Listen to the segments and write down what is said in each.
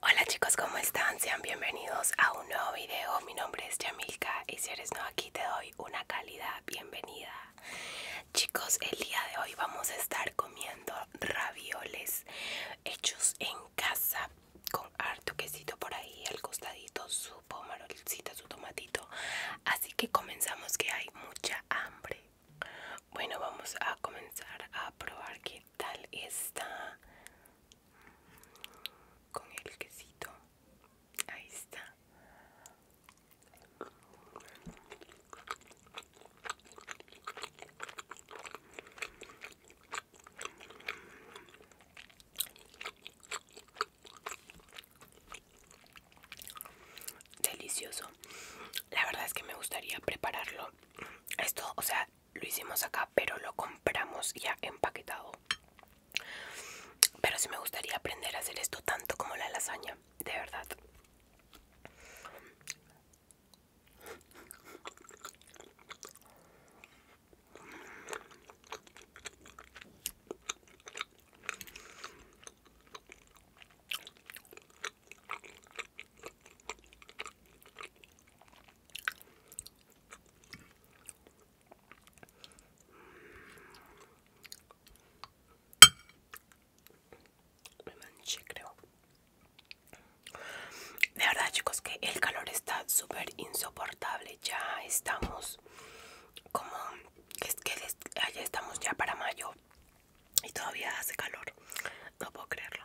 Hola chicos, ¿cómo están? Sean bienvenidos a un nuevo video. Mi nombre es Yamilka y si eres nuevo aquí te doy una cálida bienvenida. Chicos, el día de hoy vamos a estar comiendo ravioles hechos en casa con harto quesito por ahí, al costadito, su pomarolcito, su tomatito. Así que comenzamos que hay mucha hambre. Bueno, vamos a comenzar a probar que tal está con el quesito? Ahí está. Delicioso. La verdad es que me gustaría prepararlo esto, o sea, lo hicimos acá, pero lo compramos ya empaquetado. Pero sí me gustaría aprender a hacer esto tanto como la lasaña, de verdad. Me manché, creo. De verdad, chicos, que el calor está súper insoportable. Ya estamos como es que ya estamos ya para mayo y todavía hace calor. No puedo creerlo.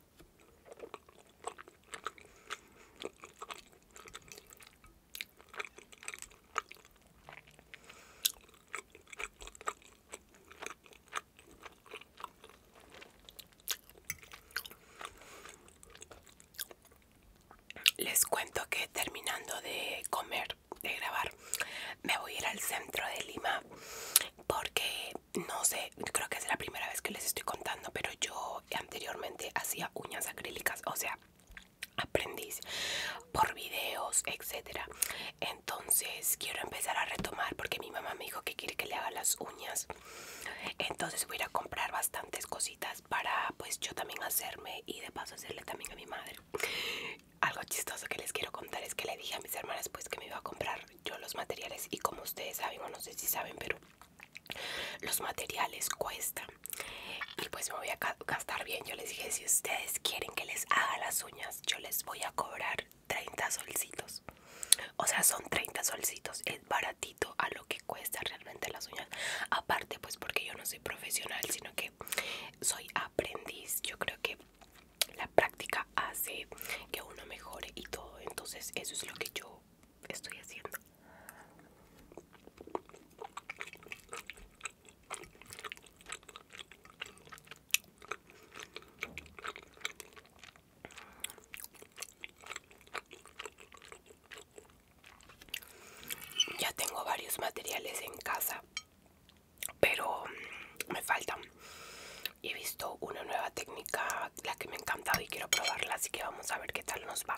Les cuento que terminando de comer, de grabar, me voy a ir al centro de Lima porque no sé, creo que es la primera vez que les estoy contando, pero yo anteriormente hacía uñas acrílicas, o sea, aprendiz por videos, etc. Entonces quiero empezar a retomar porque mi mamá me dijo que quiere que le haga las uñas. Entonces voy a ir a comprar bastantes cositas para pues yo también hacerme y de paso hacerle también a mi madre. Algo chistoso que les quiero contar es que le dije a mis hermanas pues que me iba a comprar yo los materiales y como ustedes saben o no sé si saben pero los materiales cuestan y pues me voy a gastar bien yo les dije si ustedes quieren que les haga las uñas yo les voy a cobrar 30 solcitos o sea son 30 solcitos es baratito a lo que cuesta realmente las uñas aparte pues porque yo no soy profesional sino que soy aprendiz yo creo que la práctica hace que uno mejore y todo. Entonces eso es lo que yo estoy haciendo. Ya tengo varios materiales en casa pero mm, me falta he visto una nueva técnica la que me ha encantado y quiero probarla así que vamos a ver qué tal nos va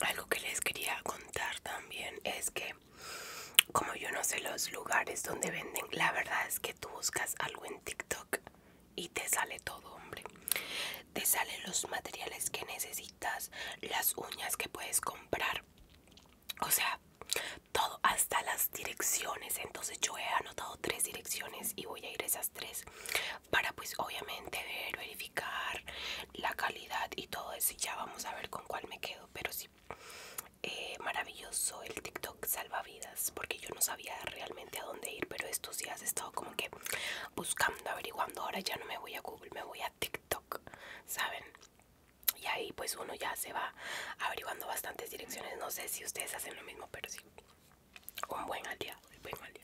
Algo que les quería contar también es que como yo no sé los lugares donde venden, la verdad es que tú buscas algo en TikTok y te sale todo, hombre. Te salen los materiales que necesitas, las uñas que puedes comprar. O sea, todo, hasta las direcciones. Entonces yo he anotado tres direcciones y voy a ir a esas tres para pues obviamente ver, verificar, la calidad y todo eso y ya vamos a ver con cuál me quedo pero sí eh, maravilloso el TikTok salvavidas porque yo no sabía realmente a dónde ir pero estos días he estado como que buscando averiguando ahora ya no me voy a Google me voy a TikTok saben y ahí pues uno ya se va averiguando bastantes direcciones no sé si ustedes hacen lo mismo pero sí un buen aliado un buen aliado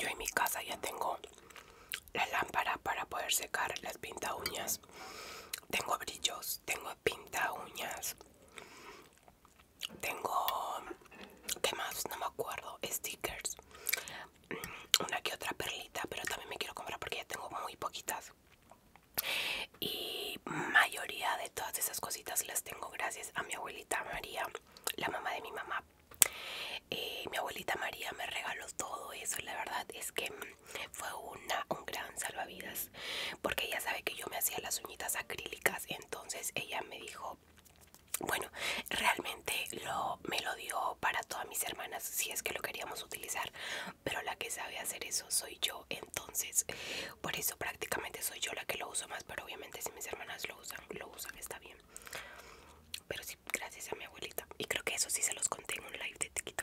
Yo en mi casa ya tengo la lámpara para poder secar las pinta uñas. Tengo brillos, tengo pinta uñas. Tengo, ¿qué más? No me acuerdo, stickers, mm, una que otra perlita, pero también me quiero comprar porque ya tengo muy poquitas. Y mayoría de todas esas cositas las tengo gracias a mi abuelita María, la mamá de mi mamá. Eh, mi abuelita María me regaló todo eso, la verdad es que mm, fue una, un gran salvavidas, porque ella sabe que yo me hacía las uñitas acrílicas, entonces ella me dijo, bueno, realmente lo, me lo dio para todas mis hermanas si es que lo queríamos utilizar, pero la que sabe hacer eso soy yo, entonces por eso prácticamente soy yo la que lo uso más, pero obviamente si mis hermanas lo usan, lo usan, está bien. Pero sí, gracias a mi abuelita. Y creo que eso sí se los conté en un live de TikTok.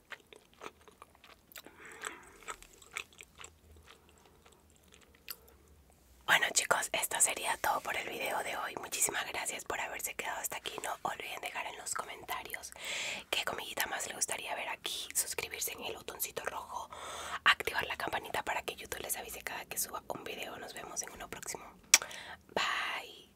Bueno chicos, esto sería todo por el video de hoy. Muchísimas gracias por haberse quedado hasta aquí. No olviden dejar en los comentarios qué comidita más les gustaría ver aquí. Suscribirse en el botoncito rojo. Activar la campanita para que YouTube les avise cada que suba un video. Nos vemos en uno próximo. Bye.